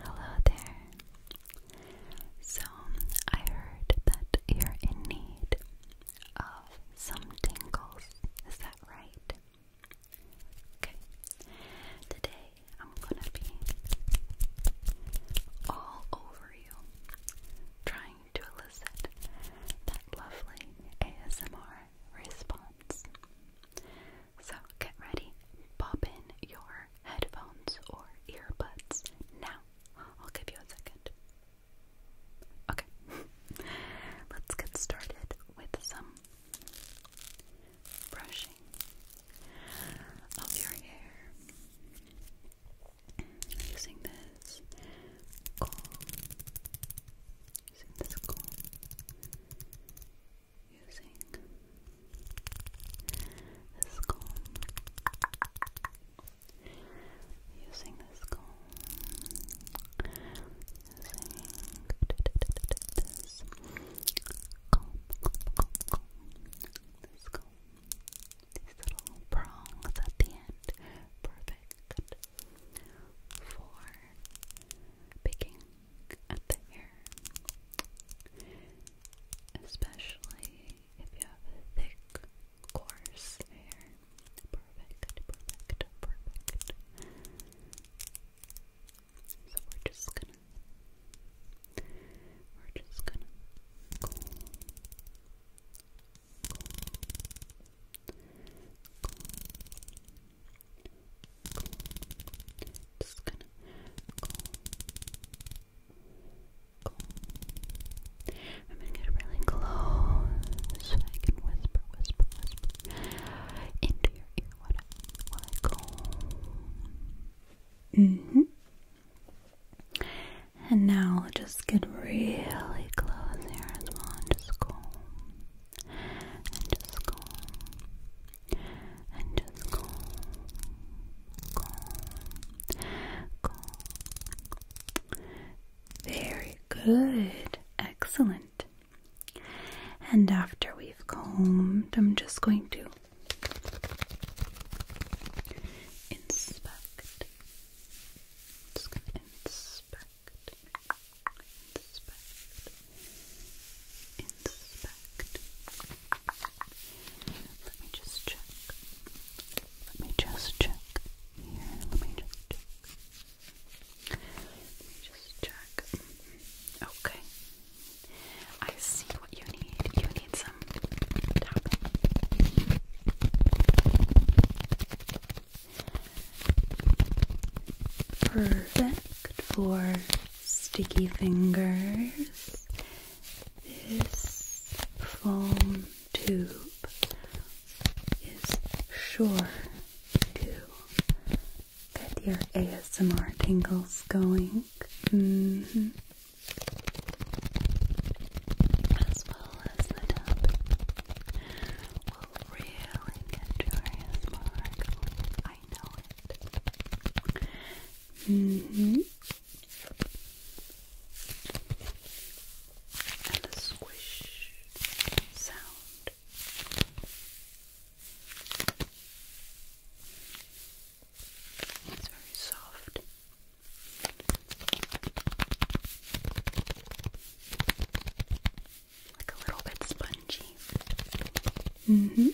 Hello there. So, I heard that you're in need of some tingles. Is that right? Okay. Today I'm gonna be all over you, trying to elicit that lovely ASMR response. So get ready, pop in your headphones or earbuds now. I'll give you a second. Okay, let's get started with some brushing of your hair using this comb. Using this comb using this comb. Using this comb. These little prongs at the end. Perfect for picking at the hair, especially if you have thick, coarse hair. Perfect, perfect, perfect. So we're just gonna, we're just gonna just gonna go. Go. I'm gonna get really close so I can whisper, whisper, whisper into your ear what I, go. hmm And now we'll just get really close here as well and just go and just calm, and just calm, calm, calm. Very good, excellent. And after we've combed, I'm just going to inspect. Just gonna inspect. Let me just check. Let me just check here. Let me just check. Let me just check. Okay. I see what you need. You need some Perfect for sticky fingers. This foam tube is sure to get your ASMR tingles going. Mm-hmm. As well as the tub will really get your ASMR going. I know it. Mm hmm. And a squish sound. It's very soft like a little bit spongy. Mm-hmm.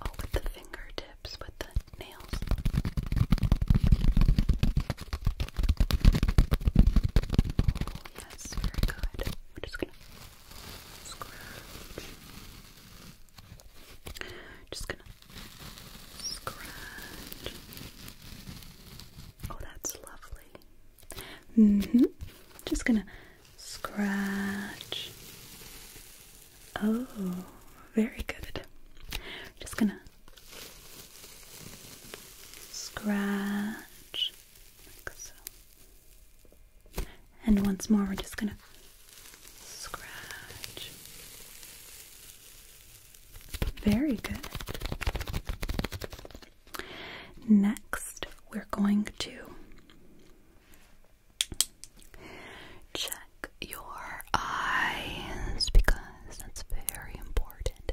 Oh, with the fingertips, with the nails very good. We're just gonna scratch. Just gonna scratch. Oh, that's lovely. Mm hmm. Just gonna scratch. Oh, very good. Just gonna scratch. And once more, we're just gonna scratch. Very good. Next, we're going to check your eyes because that's very important.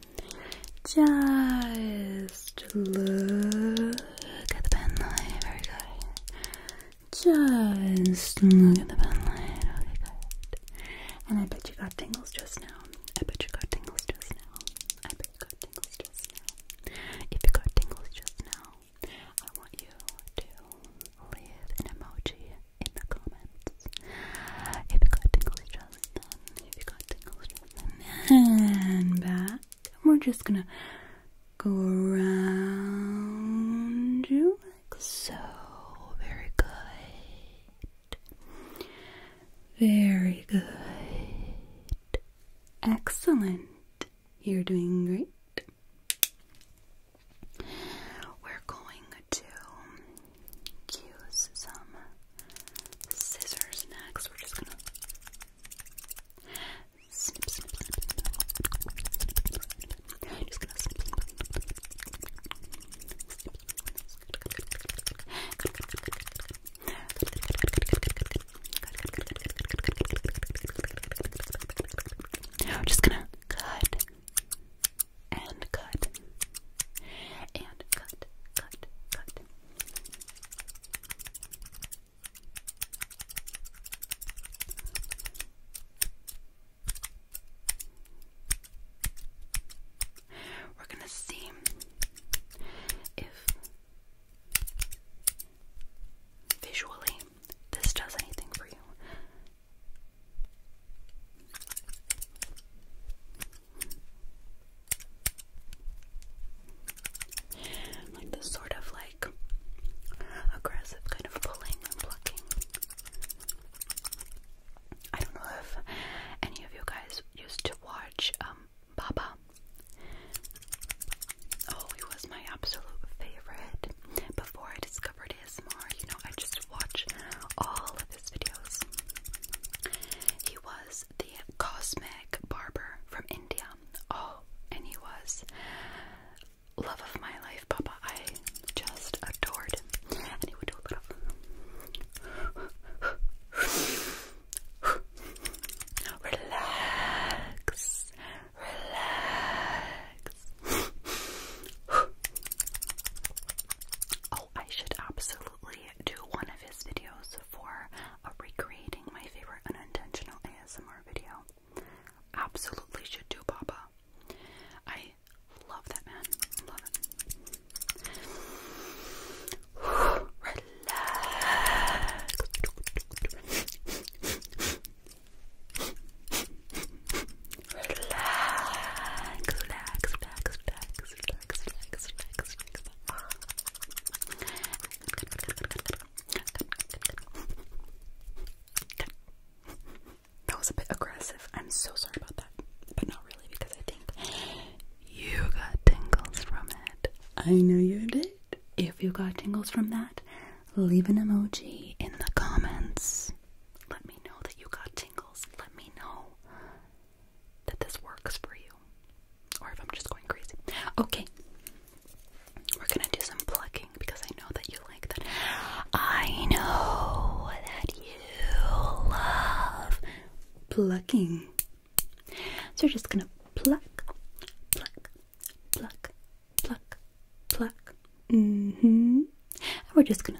Just look at the pen light. Very good. Just look at the pen light. good. And I bet you got tingles just now. I bet you got tingles just now. I bet you got tingles just now. If you got tingles just now, I want you to leave an emoji in the comments. If you got tingles just and back. We're just gonna go around you like so. Very good. Very good. Excellent. You're doing great. We're going to use some scissors next. We're just gonna snip, snip, snip, snip. Just gonna snip, snip. I'm just gonna cut, and cut and cut, cut, cut. We're going to see if visually this does anything for you. Like this sort of like aggressive kind of pulling and plucking. I don't know if any of you guys used to watch um, Baba. Oh, he was my absolute favorite. Before I discovered his ASMR, you know, I just watch all of he was the cosmic barber from India. Oh, and he was love of my life, Papa. I just adored And he would do a little relax, relax. I should absolutely do one of his videos for a recreating my favorite unintentional ASMR video. Absolutely should do, Papa. I love that man. Love it. relax, relax, relax. That was a bit aggressive. I'm so sorry about that. But not really, because I think you got tingles from it. I know you did. If you got tingles from that, leave an emoji in the comments. Let me know that you got tingles. Let me know that this works for you, or if I'm just going crazy. Okay, we're gonna do some plucking because I know that you like that. I know that you love plucking, so we're just gonna pluck, pluck, pluck, pluck, pluck. Mm hmm. And we're just gonna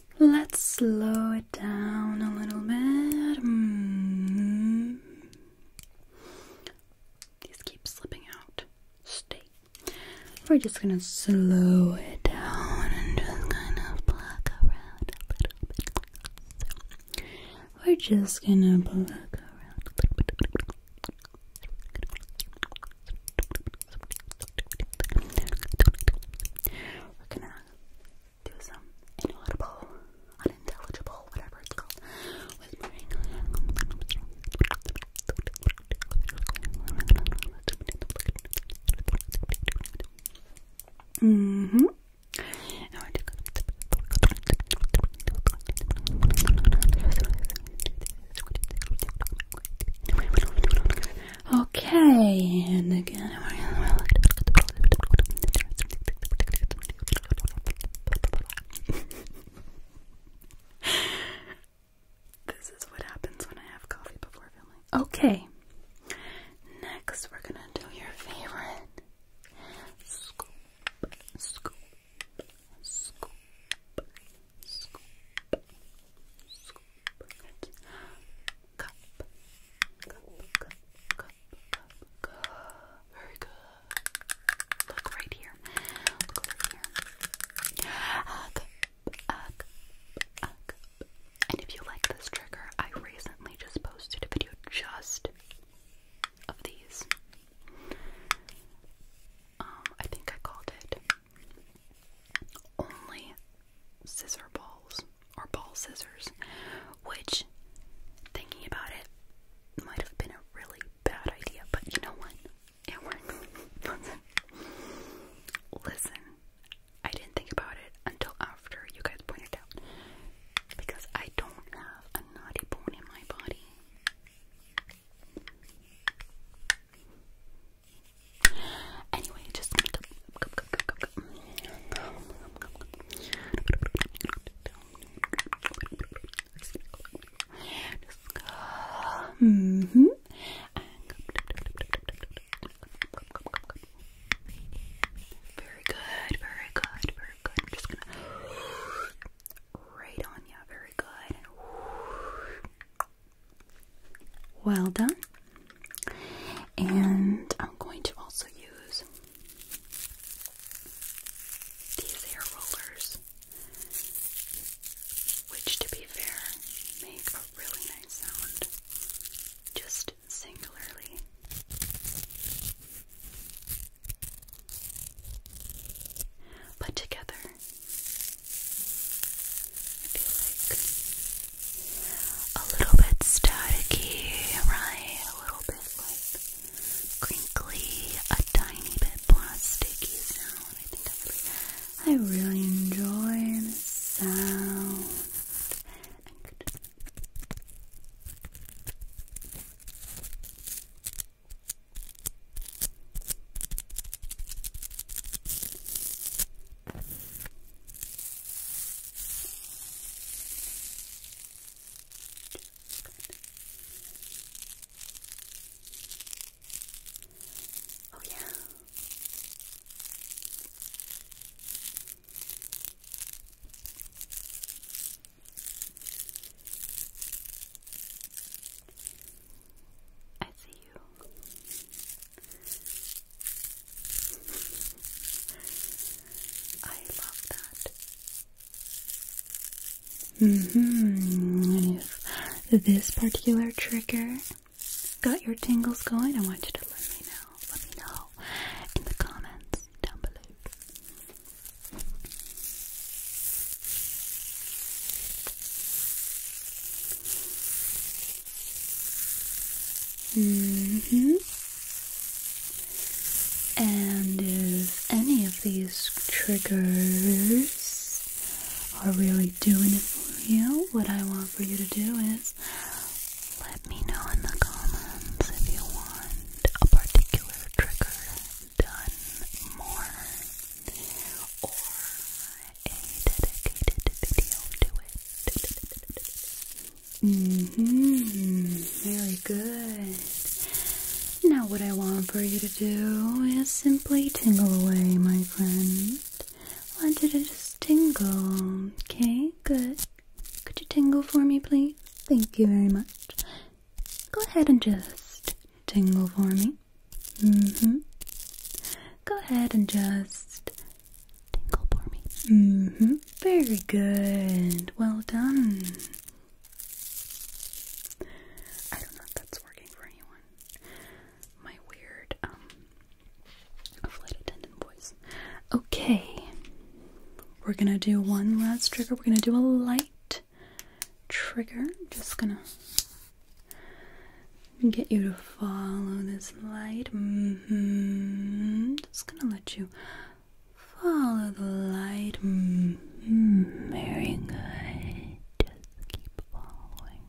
Let's slow it down a little bit. Mm. These slipping out. Stay. We're just gonna slow it down and just kind of pluck around a little bit. we're just gonna pluck around do some inaudible, unintelligible, whatever it's called, whispering. Mm hmm. Okay, and again, this is what happens when I have coffee before filming. Okay, next we're gonna do your favorite scoop, scoop, scoop, scoop, scoop, cup, cup, cup, cup, cup. Very good. Look right here. Look right here. And if you like this trigger, I recently just posted a video just of these. Um, I think I called it only scissor balls or ball scissors, which, thinking about it, might have been a really bad idea, but you know what? It worked. Listen, I didn't think about it until after you guys pointed out because I don't have a naughty bone in my body. Anyway, just mm-hmm. very good, very good, very good. I'm just gonna right on you, very good. Well done. And I'm going to also use these air rollers, which, to be fair, make a really nice sound, just singularly. But together, feel like a little bit staticky, right? A little bit like crinkly, a tiny bit plasticky sound. I really, enjoy the sound. Oh, yeah. I see you. I love that. hmm If this particular trigger got your tingles going, I want you to let me know. Let me know in the comments down below hmm And if any of these triggers are really doing it for you, what I want for you to do is let me know in the comments if you want a particular trigger done more or a dedicated video to it. Mm-hmm. Very good. Now what I want for you to do is simply tingle away, my friend. I want you to just tingle. Okay, good. Could you tingle for me, please? Thank you very much. Go ahead and just tingle for me. Mm-hmm. Go ahead and just tingle for me. Mm-hmm. Very good. Well done. I don't know if that's working for anyone. My weird, um, flight attendant voice. Okay. We're gonna do one last trigger. We're gonna do a light trigger. Just gonna and get you to follow this light. hmm. Just gonna let you follow the light. hmm. Very good. Just keep following.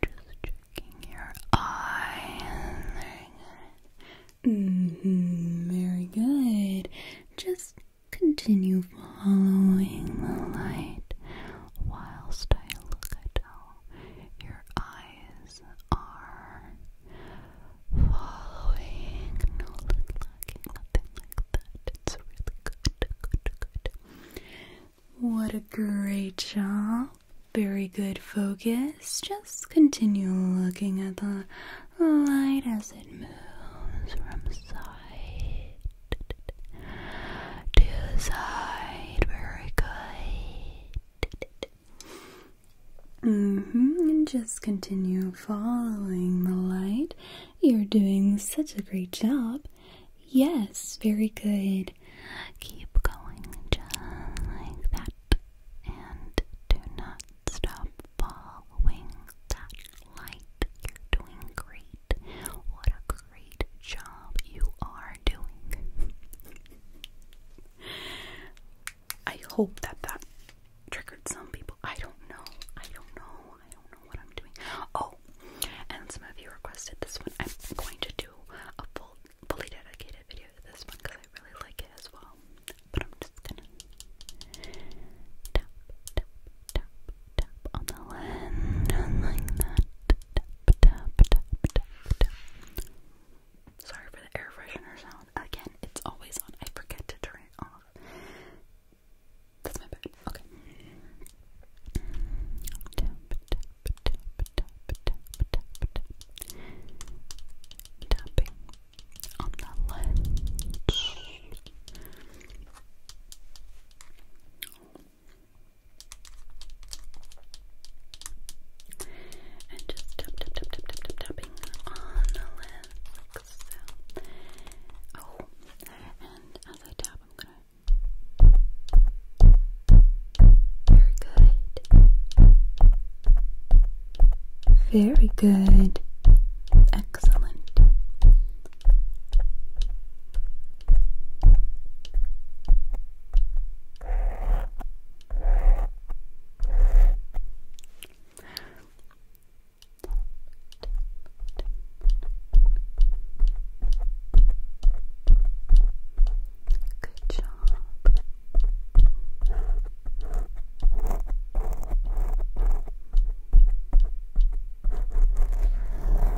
Just checking your eyes. Mm-hmm. Very good. Just continue following the light whilst I look at our your eyes are following. What a great job. Very good focus. Just continue looking at the light as it moves from side to the side. Very good. Mm-hmm, and just continue following the light. You're doing such a great job. Yes, very good. Keep going just like that. And do not stop following that light. You're doing great. What a great job you are doing. I hope that that triggered some people. I don't know. I don't know. I don't know what I'm doing. Oh, and some of you requested this one. I'm going to do a full, fully dedicated video to this one because I really like it as well. But I'm just gonna tap, tap, tap, tap on the lens like that. Sorry for the air freshener sound. Again, it's always on. I forget to turn it off. That's my bad. Okay. Tapping on the lens. And just tap, tap, tap, tapping on the lens Oh, and as I tap, I'm gonna. Very good. Very good. Excellent. Good job. Good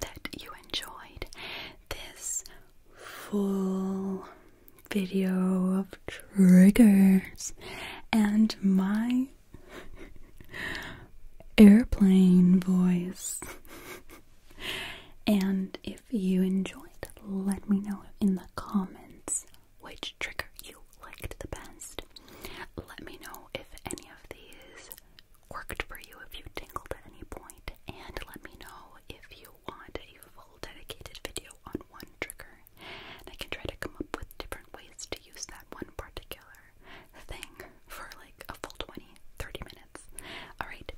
that you enjoyed this full video of triggers and my airplane voice. and if you enjoyed, let me know in the comments which trigger you liked the best. Let me know if any of these worked for you if you tingled at any point, and let me know if you want a full dedicated video on one trigger. And I can try to come up with different ways to use that one particular thing for like a full 20, 30 minutes. Alright,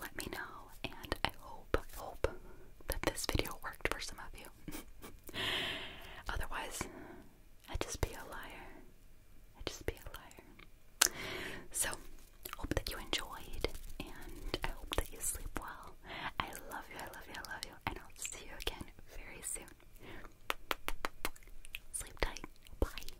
let me know, and I hope, hope that this video worked for some of you. Otherwise, I'd just be a liar. I'd just be a liar. So, hope that you enjoyed, and I hope that you sleep well. I love you, I love you, I love you, and I'll see you again very soon. Sleep tight. Bye.